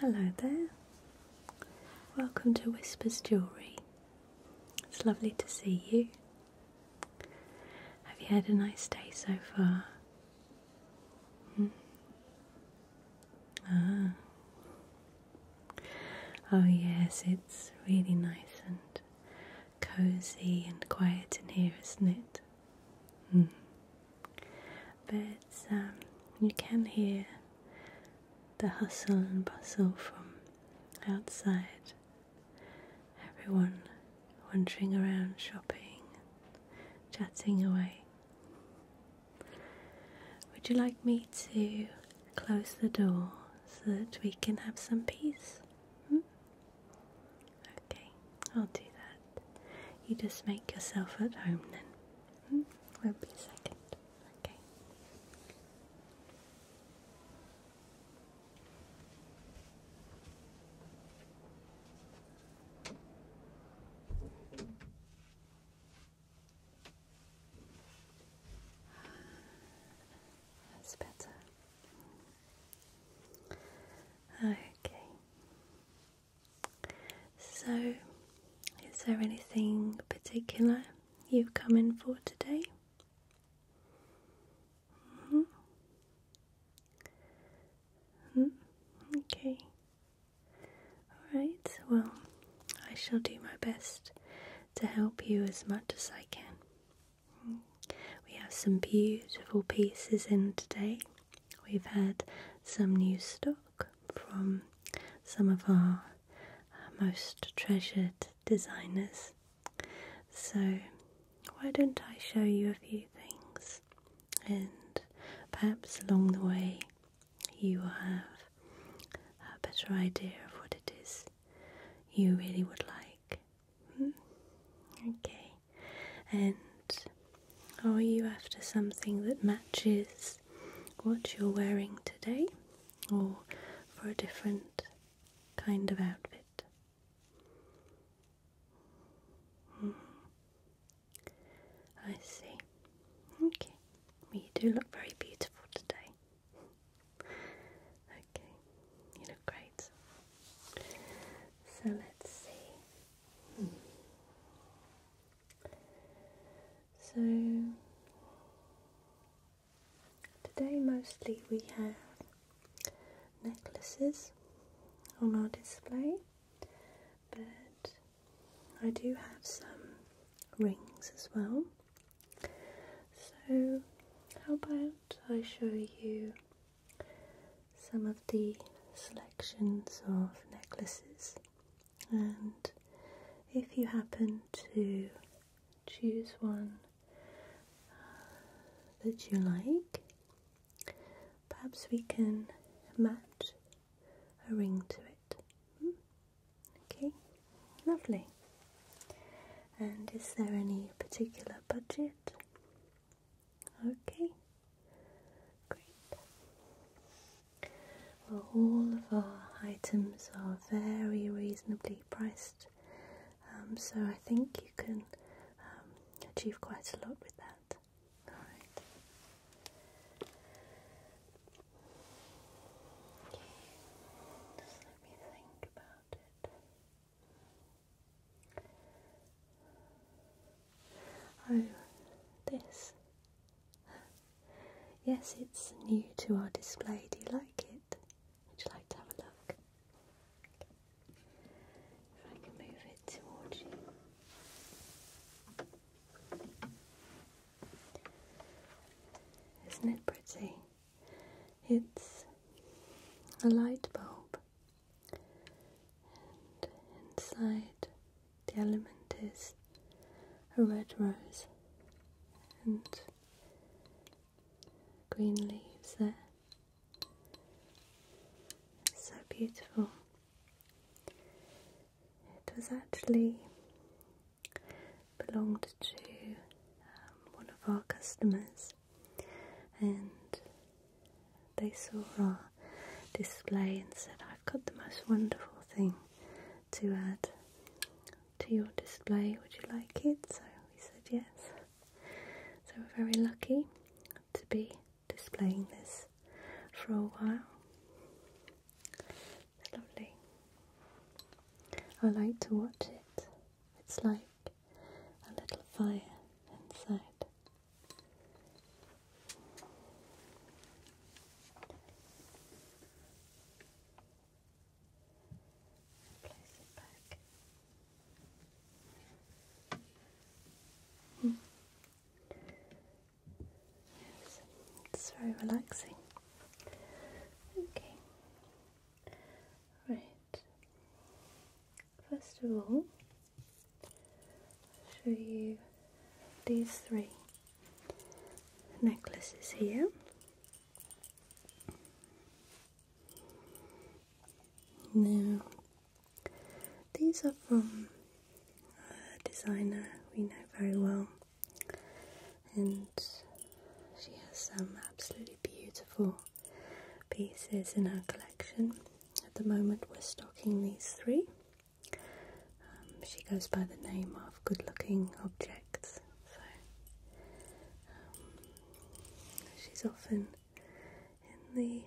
Hello there. Welcome to Whispers Jewellery. It's lovely to see you. Have you had a nice day so far? Hmm? Ah. Oh, yes, it's really nice and cozy and quiet in here, isn't it? Hmm but um, you can hear the hustle and bustle from outside. Everyone wandering around shopping, chatting away. Would you like me to close the door so that we can have some peace? Hmm? Okay, I'll do that. You just make yourself at home then. Hmm? Will be a second. Okay. That's better. Okay. So, is there anything particular you've come in for today? -hmm. -hmm. Okay. Alright, well, I shall do my best to help you as much as I can. Mm-hmm. We have some beautiful pieces in today. We've had some new stock, from some of our most treasured designers. So, why don't I show you a few things, and perhaps along the way you will have a better idea of what it is you really would like. Hmm? Okay, and are you after something that matches what you're wearing today or for a different kind of outfit? Hmm. I see. Okay. Well, you do look very beautiful today. okay. You look great. So let's see. Hmm. So today mostly we have necklaces on our display, but I do have some rings as well. So how about I show you some of the selections of necklaces and if you happen to choose one uh, that you like, perhaps we can match a ring to it. Hmm? Okay, lovely. And is there any particular budget? Okay. Great. Well, all of our items are very reasonably priced, um, so I think you can um, achieve quite a lot with that. Alright. Just let me think about it. Oh, this yes, it's new to our display. Do you like it? Would you like to have a look? If I can move it towards you. Isn't it pretty? It's a light bulb, and inside the element is a red rose and green leaves there. so beautiful. It was actually belonged to um, one of our customers and they saw our display and said, I've got the most wonderful thing to add to your display. Would you like it? So we said yes. So we're very lucky to be displaying this for a while. It's lovely. I like to watch it. It's like a little fire inside. Hmm. it's very relaxing. Okay. Right. First of all, I'll show you these three necklaces here. Now, these are from a designer we know very well, and she has some absolutely beautiful pieces in her collection. At the moment, we're stocking these three. Um, she goes by the name of Good Looking Objects, so um, she's often in the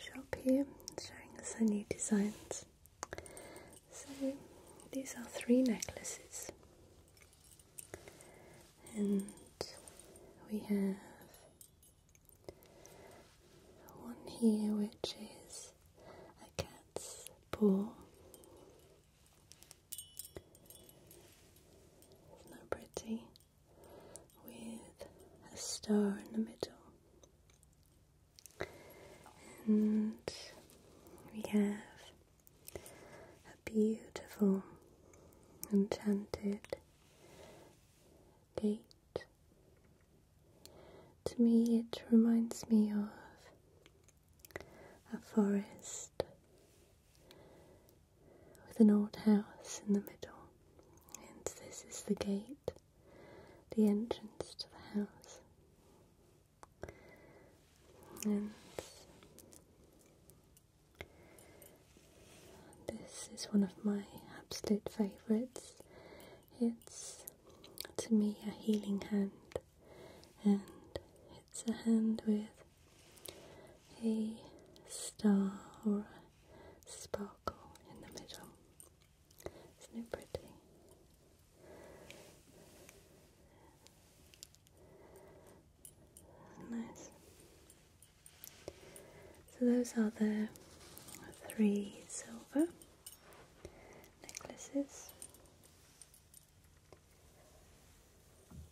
shop here showing us her new designs. So these are three necklaces, and we have one here, which is a cat's paw. Isn't pretty? With a star in the middle. And we have a beautiful enchanted gate to me, it reminds me of a forest with an old house in the middle, and this is the gate, the entrance to the house. And this is one of my absolute favourites. It's to me a healing hand, and it's a hand with a star or a sparkle in the middle. Isn't pretty? Nice. So those are the three silver necklaces.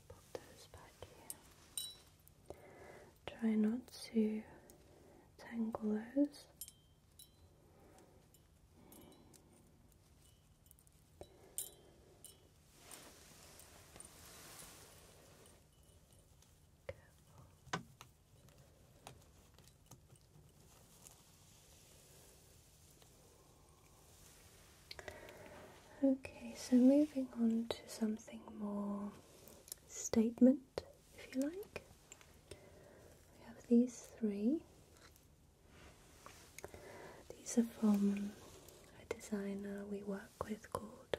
Pop those back here. Try not to tangle those. Okay, so moving on to something more statement, if you like. We have these three. These are from a designer we work with called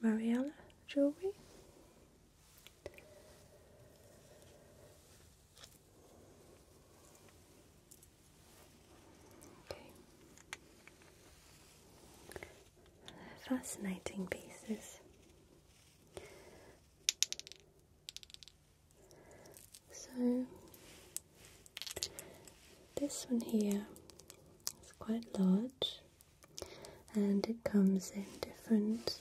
Mariella Jewelry. Okay. fascinating pieces. So this one here is quite large and it comes in different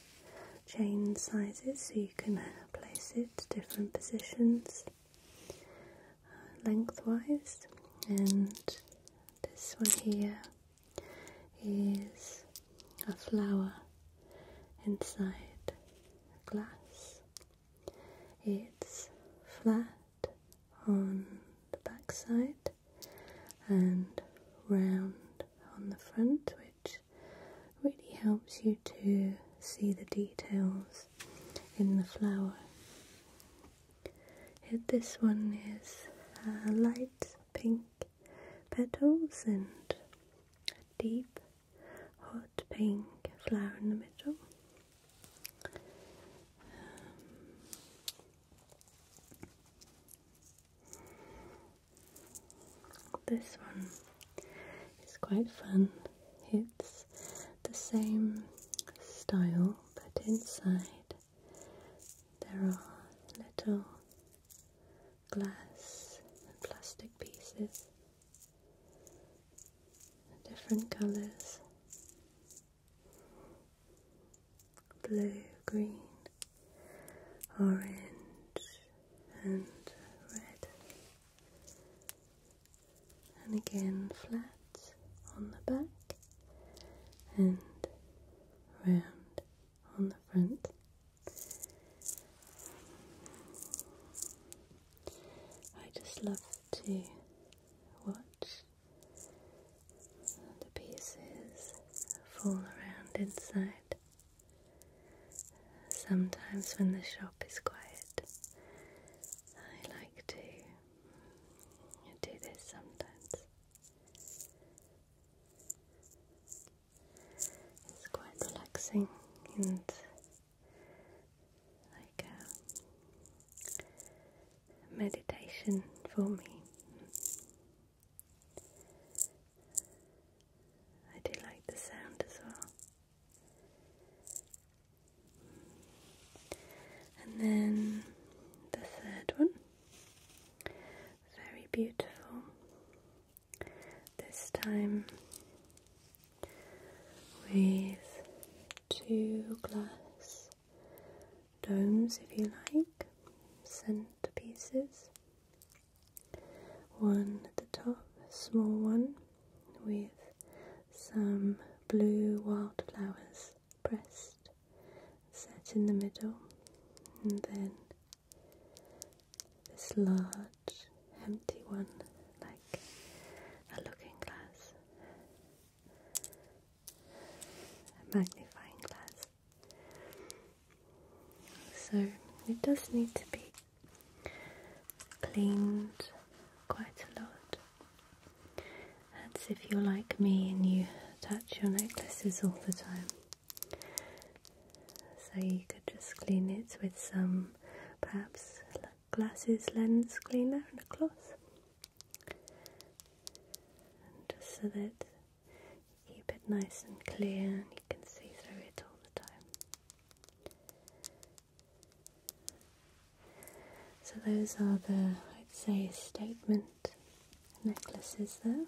chain sizes so you can uh, place it different positions uh, lengthwise and this one here is a flower inside glass it's flat on the back side and round on the front, which really helps you to see the details in the flower. this one is uh, light pink petals and a deep hot pink flower in the middle. Um, this one is quite fun. It's the same style, but inside there are little glass and plastic pieces, different colours blue, green, orange, and red, and again flat on the back and round on the front. I just love to watch the pieces fall around inside. Sometimes, when the shop is quiet, I like to do this sometimes. It's quite relaxing and like a meditation for me. I do like the sound as well. And then the third one, very beautiful. This time with two glass domes, if you like, centerpieces. One at the top, small one with some blue wildflowers pressed, set in the middle, and then this large empty one like a looking glass, a magnifying glass. So it does need to be cleaned quite a lot. That's if you're like me and you touch your necklaces all the time. So you could just clean it with some perhaps glasses lens cleaner and a cloth. just so that Keep it nice and clear, and you can see through it all the time. So, those are the, I'd say, statement necklaces there. there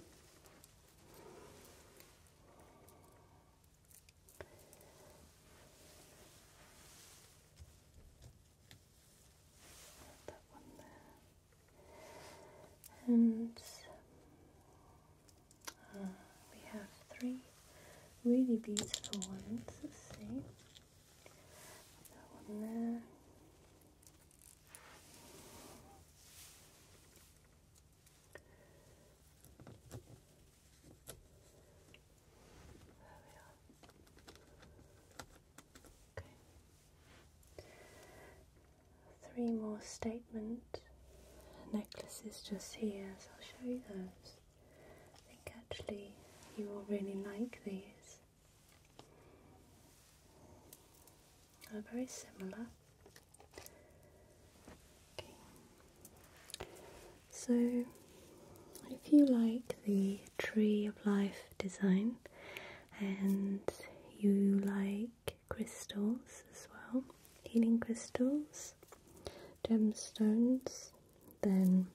and uh, we have three really beautiful ones. to see that one there. There we are. Okay three more statement necklaces just here, so I'll show you those. I think actually you will really like these. They're very similar. So if you like the Tree of Life design, and you like crystals as well, healing crystals, gemstones, then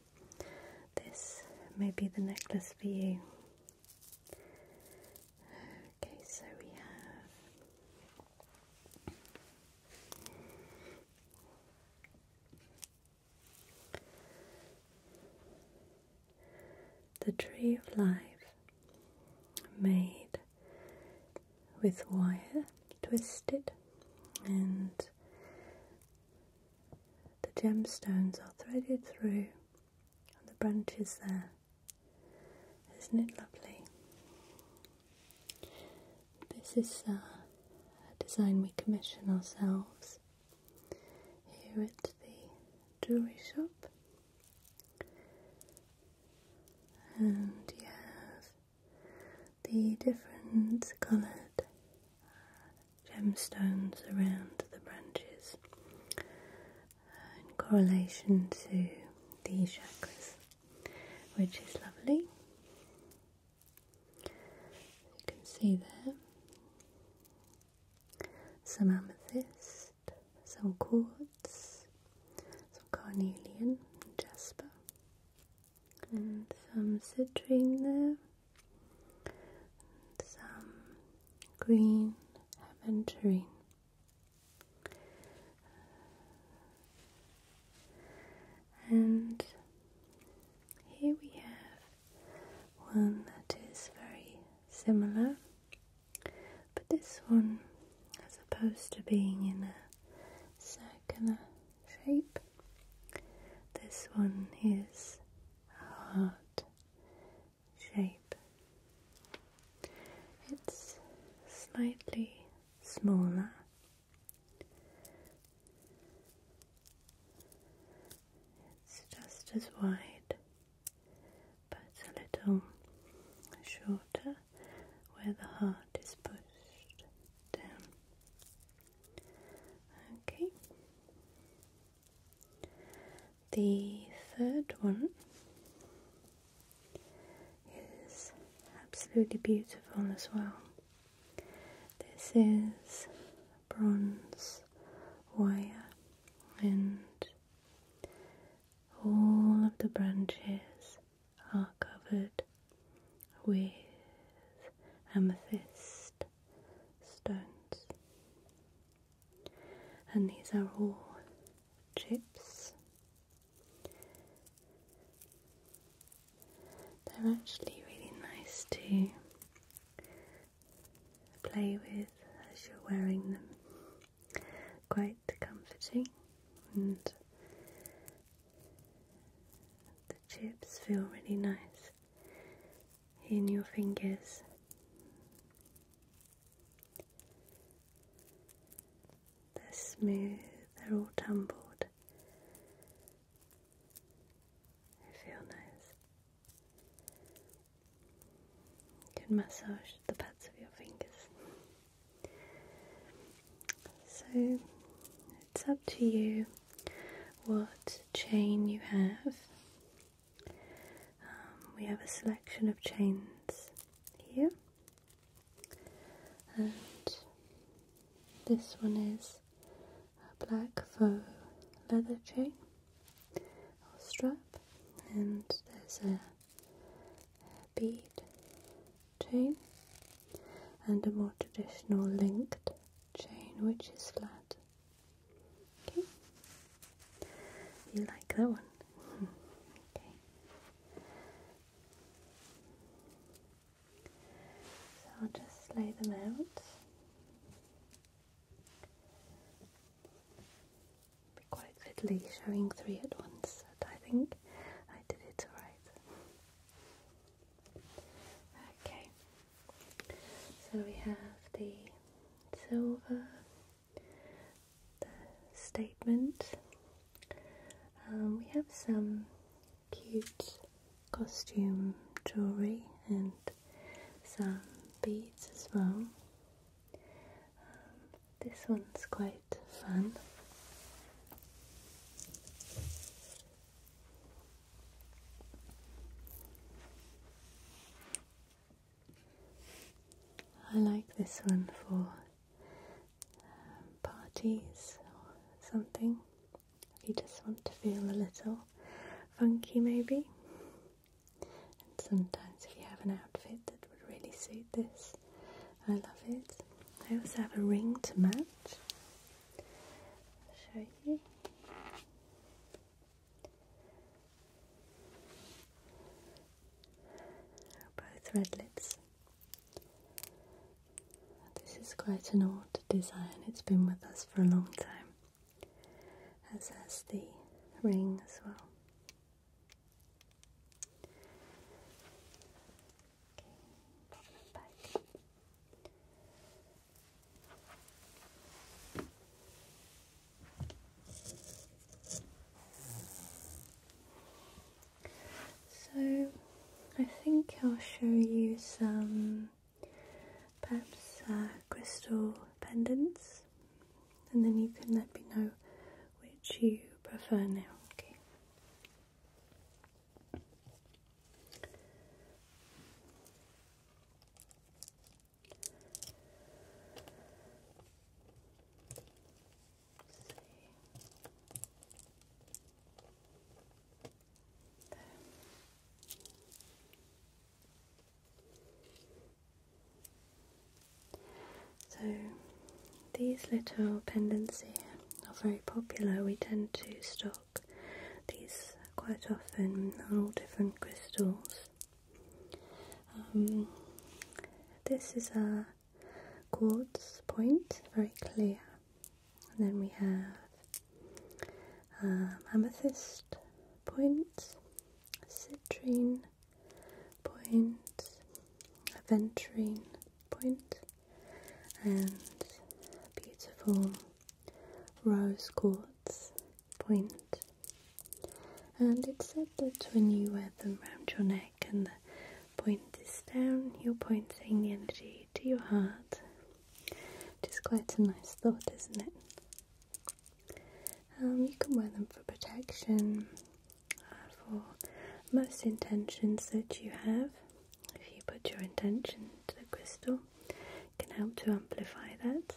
this may be the necklace for you. Okay, so we have the tree of life made with wire twisted and the gemstones are threaded through on the branches there. Isn't it lovely? This is uh, a design we commission ourselves here at the jewellery shop and you have the different coloured gemstones around the branches in correlation to the chakras, which is lovely. You can see there some amethyst some quartz, some carnelian, and jasper, and some citrine there, some green aventurine. And here we have one that is very similar but this one, as opposed to being in a circular shape, this one is a heart shape. It's slightly smaller. It's just as wide but it's a little shorter where the heart is pushed down. Okay. The third one is absolutely beautiful as well. This is bronze wire and all of the branches are covered with amethyst stones, and these are all chips. They're actually really nice too play with as you're wearing them. Quite comforting, and the chips feel really nice in your fingers. They're smooth, they're all tumbled. They feel nice can massage the pads of your fingers. So it's up to you what chain you have. Um, we have a selection of chains here, and this one is a black faux leather chain. A strap, and there's a, a bead chain and a more traditional linked chain which is flat. Okay, you like that one? okay. So I'll just lay them out. Be quite fiddly showing three at once, but I think I did it alright. Okay, so we have the silver, the statement. Um, we have some cute costume jewellery and some beads as well. Um, this one's quite fun. I like this one for um, parties or something. If you just want to feel a little funky, maybe. And sometimes if you have an outfit that would really suit this, I love it. I also have a ring to match. I'll show you. Both red lips. This is quite an old design, it's been with us for a long time as has the ring as well. So, I think I'll show you some perhaps uh, crystal pendants, and then you can let me know which you prefer now. Okay. So, these little pendants here are very popular. We tend to stock these quite often on all different crystals. Um, this is a quartz point, very clear. And then we have um, amethyst points, citrine point, aventurine point, and beautiful rose quartz point. And it's said that when you wear them round your neck and the point is down, you're pointing energy to your heart. It is quite a nice thought, isn't it? Um, you can wear them for protection, uh, for most intentions that you have. If you put your intention to the crystal, can help to amplify that.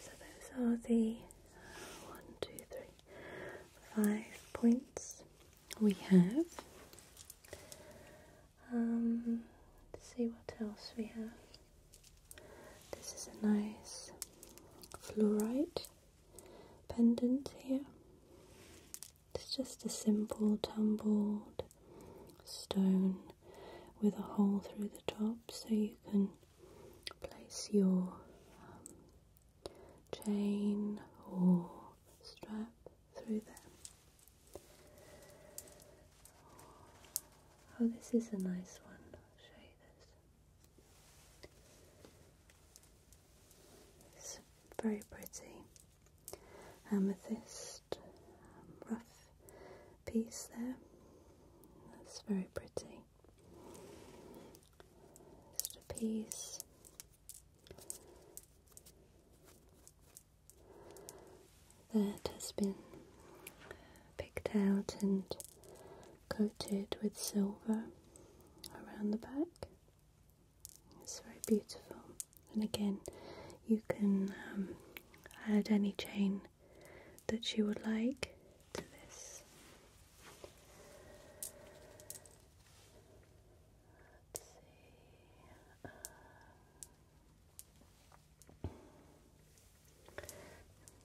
So those are the uh, one, two, three, five points we have. Um, let's see what else we have. This is a nice fluorite pendant here. It's just a simple tumbled stone with a hole through the top so you can place your um, chain or strap through there. Oh, this is a nice one. I'll show you this. It's very pretty amethyst rough piece there. That's very pretty. Just a piece that has been picked out and coated with silver around the back. It's very beautiful. And again, you can um, add any chain that you would like to this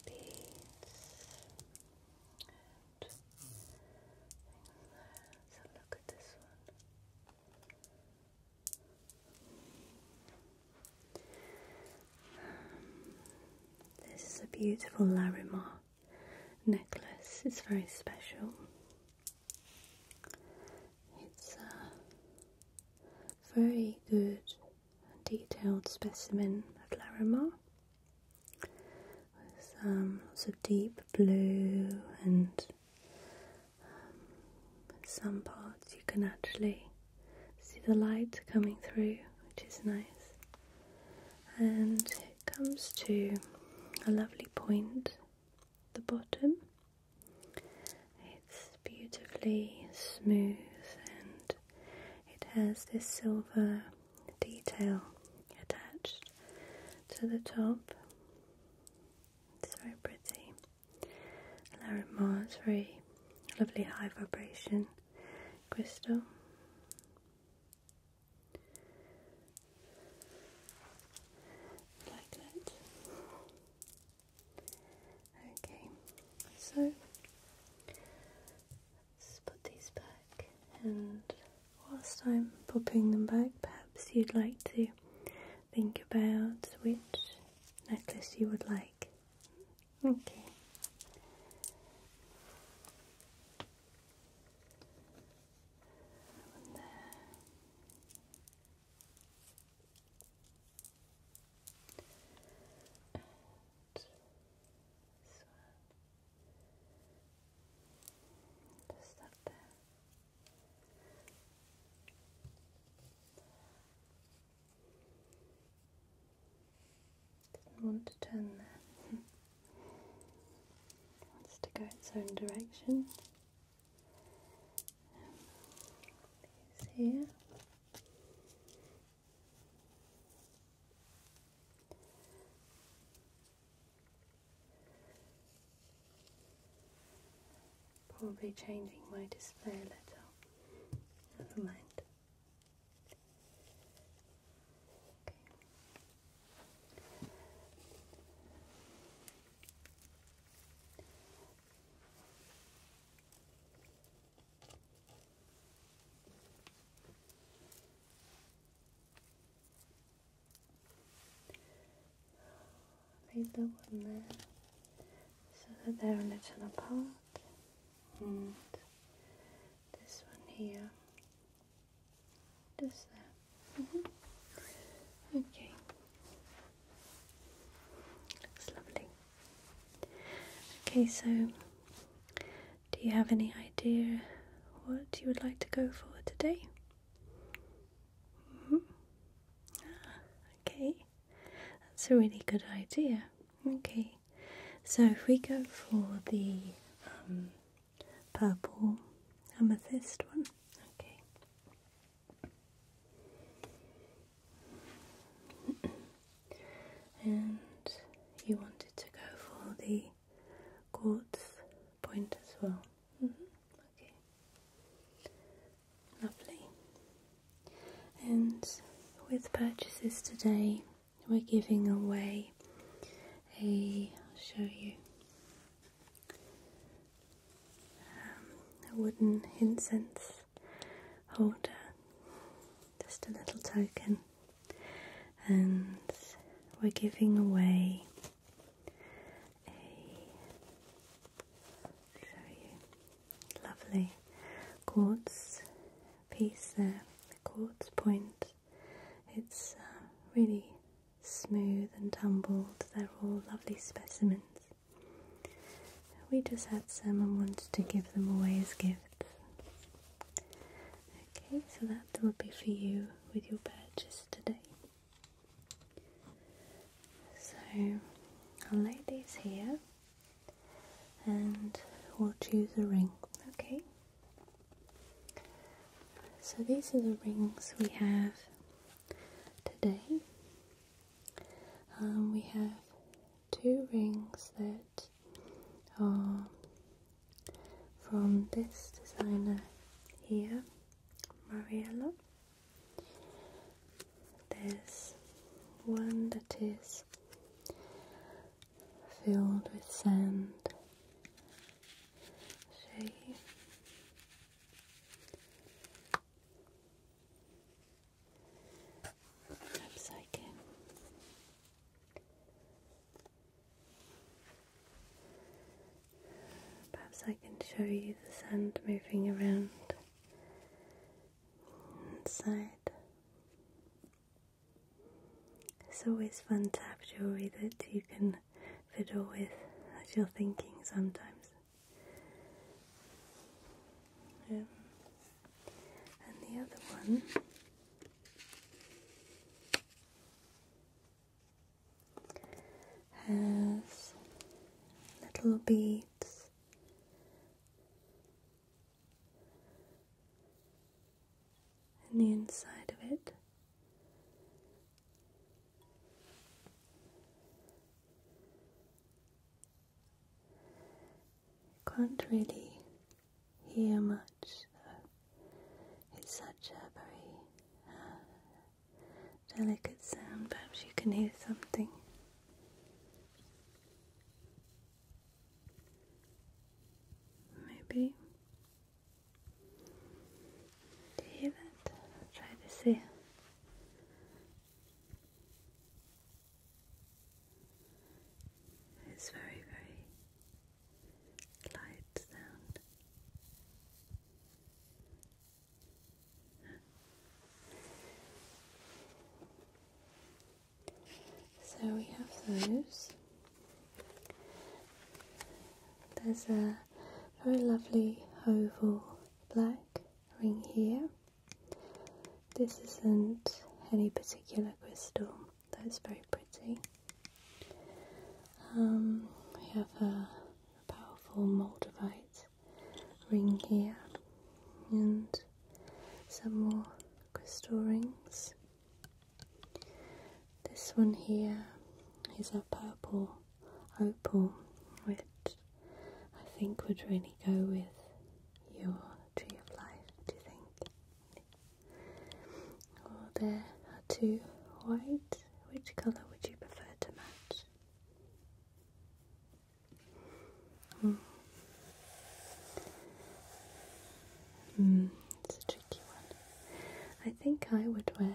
these so look at this one. this is a beautiful Larimar necklace. It's very special. It's uh, very good detailed specimen of Larimar with um, lots of deep blue and um, some parts you can actually see the light coming through which is nice and it comes to a lovely point the bottom it's beautifully smooth and it has this silver detail attached to the top. It's very pretty. Larimar is very lovely high vibration crystal. Like that. Okay, so let's put these back, and whilst I'm popping them back, perhaps you'd like to think about which necklace you would like. Okay. And Just up there. Doesn't want to turn there. wants to go its own direction. Probably changing my display a little. Never mind. Okay. Make the one there so that they're a little apart, and this one here does that. Mm-hmm. Okay. Looks lovely. Okay, so do you have any idea what you would like to go for today? -hmm. okay, that's a really good idea. Okay, so if we go for the um, purple amethyst one, okay, and you wanted to go for the quartz point as well. Mm-hmm. Okay, lovely. And with purchases today, we're giving away a. I'll show you. Um, a wooden incense holder, just a little token, and we're giving away a lovely quartz piece there, the quartz point. It's uh, really smooth and tumbled. They're all lovely specimens we just had some and wanted to give them away as gifts. Okay, so that will be for you with your purchase today. So I'll lay these here and we'll choose a ring, okay? So these are the rings we have today. Um, we have two rings that are from this designer here, Mariella. There's one that is filled with sand. Oops, I can. Perhaps I can show you the sand moving around inside. It's always fun to have jewellery that you can fiddle with as you're thinking sometimes and the other one has little beads in the inside of it. Can't really hear much It's such a very uh, delicate sound. Perhaps you can hear something. Maybe. Do you hear that? try to see. It's very, very light sound. So we have those. There's a very lovely oval black ring here. This isn't any particular crystal, that's very pretty. Um, we have a powerful moldavite ring here and some more crystal rings. This one here is a purple opal, which I think would really go with your tree of life, do you think? Or there are two white. Which colour would you prefer to match? Mm. Mm, it's a tricky one. I think I would wear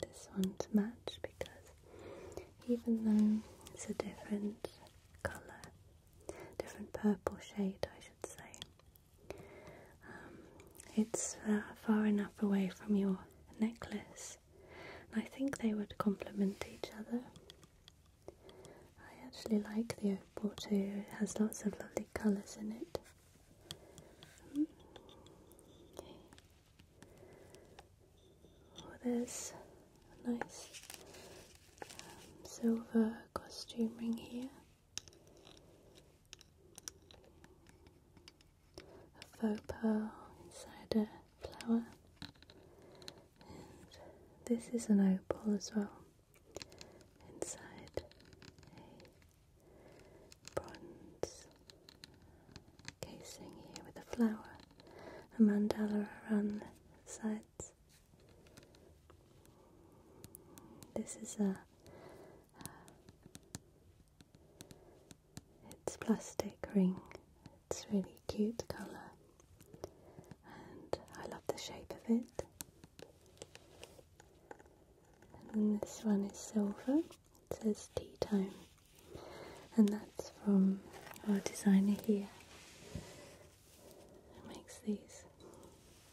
this one to match because even though it's a different colour, different purple shade, I should say. Um, it's uh, far enough away from your necklace, I think they would complement each other. I actually like the opal too, it has lots of lovely colours in it. Hmm. Oh, there's a nice um, silver costume ring here. A faux pearl inside a flower. this is an opal as well. Inside a bronze casing here with a flower, a mandala around the sides. This is a it's plastic ring. It's really cute colour, and I love the shape of it. And then this one is silver. It says tea time, and that's from our designer here who makes these.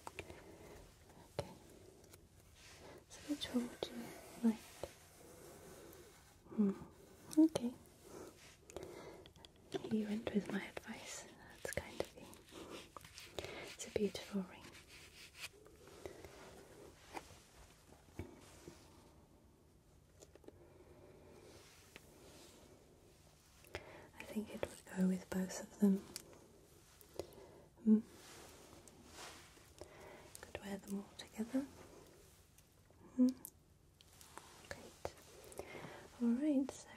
Okay, so which one you like? Hmm. Okay, you went with my advice, that's kind of you. It's a beautiful ring. I think it would go with both of them. Hmm. Could wear them all together. Hmm. Great. Alright, so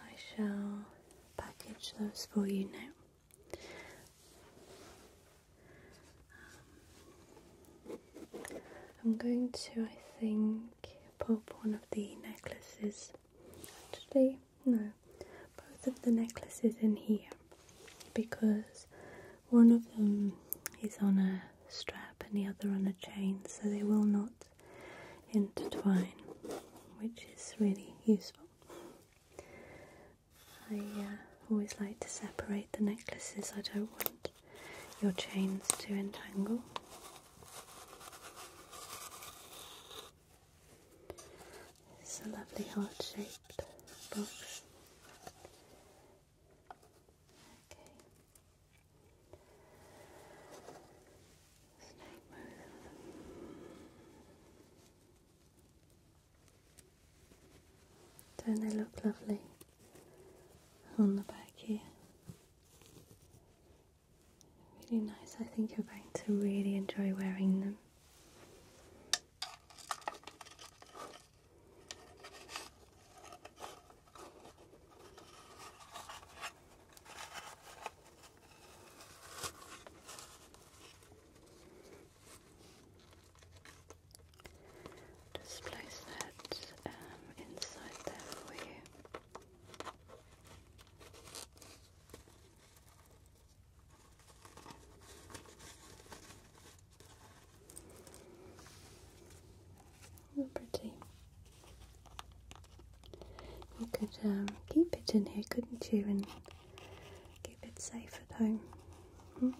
I shall package those for you now. Um, I'm going to, I think, pop one of the necklaces. Actually, no, both of the necklaces in here because one of them is on a strap and the other on a chain, so they will not intertwine, which is really useful. I uh, always like to separate the necklaces, I don't want your chains to entangle. It's a lovely heart shaped box. Okay. Don't they look lovely on the back here? Really nice. I think you're going to really enjoy wearing them. Just place that um, inside there for you. Oh, pretty. You could um, keep it in here, couldn't you, Keep it safe at home. Hmm?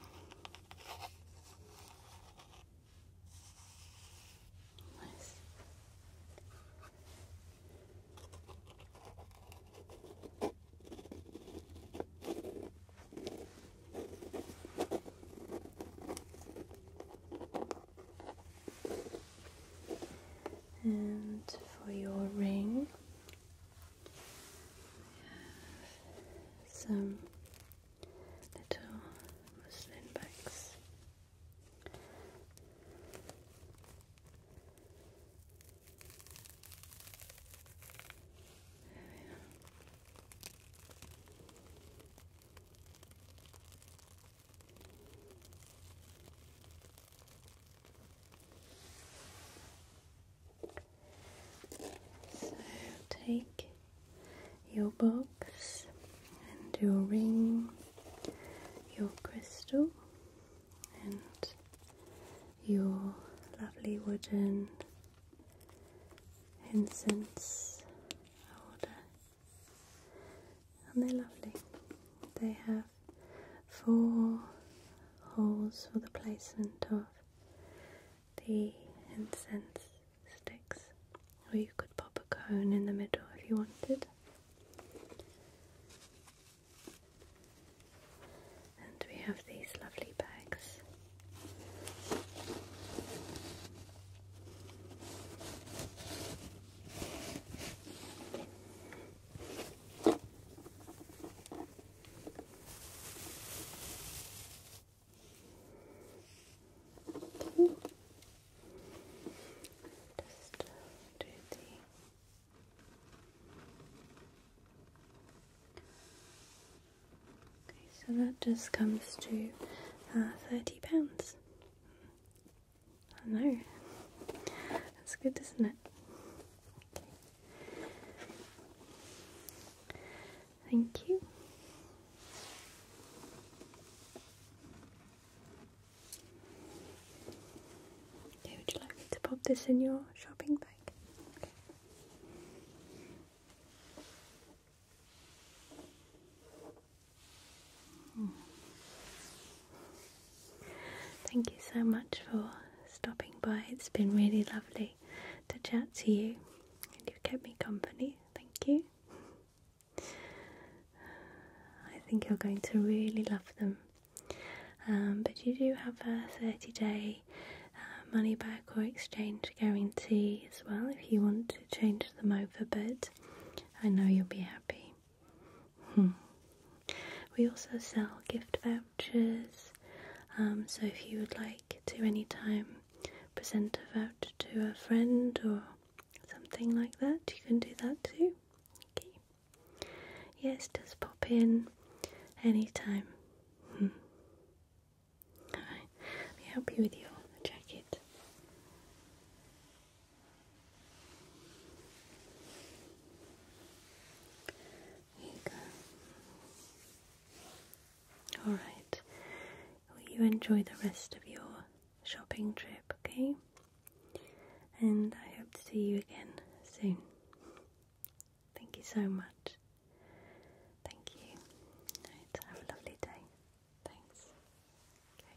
And for your ring, we have some little muslin bags. There we are. So take your box and your ring, your crystal, and your lovely wooden incense holder. And they're lovely. They have four holes for the placement of the incense sticks, or you could pop a cone in the middle if you wanted. And we have these lovely bags. Okay. Just do the Okay, so that just comes to uh, thirty pounds. I know. That's good, isn't it? Thank you. would you like to pop this in your shopping bag? Hmm. Thank you so much for stopping by. It's been really lovely to chat to you, and you've kept me company. Thank you. I think you're going to really love them. Um, but you do have a 30 day uh, money back or exchange guarantee as well if you want to change them over, but I know you'll be happy. Hmm. We also sell gift vouchers, um, so if you would like to anytime present a voucher to a friend or something like that, you can do that too. Yes, just pop in anytime. Hmm. Alright, let me help you with your jacket. Here Alright. Will you enjoy the rest of your shopping trip, okay? And I hope to see you again soon. Thank you so much. Thank you. Right, have a lovely day. Thanks. Okay.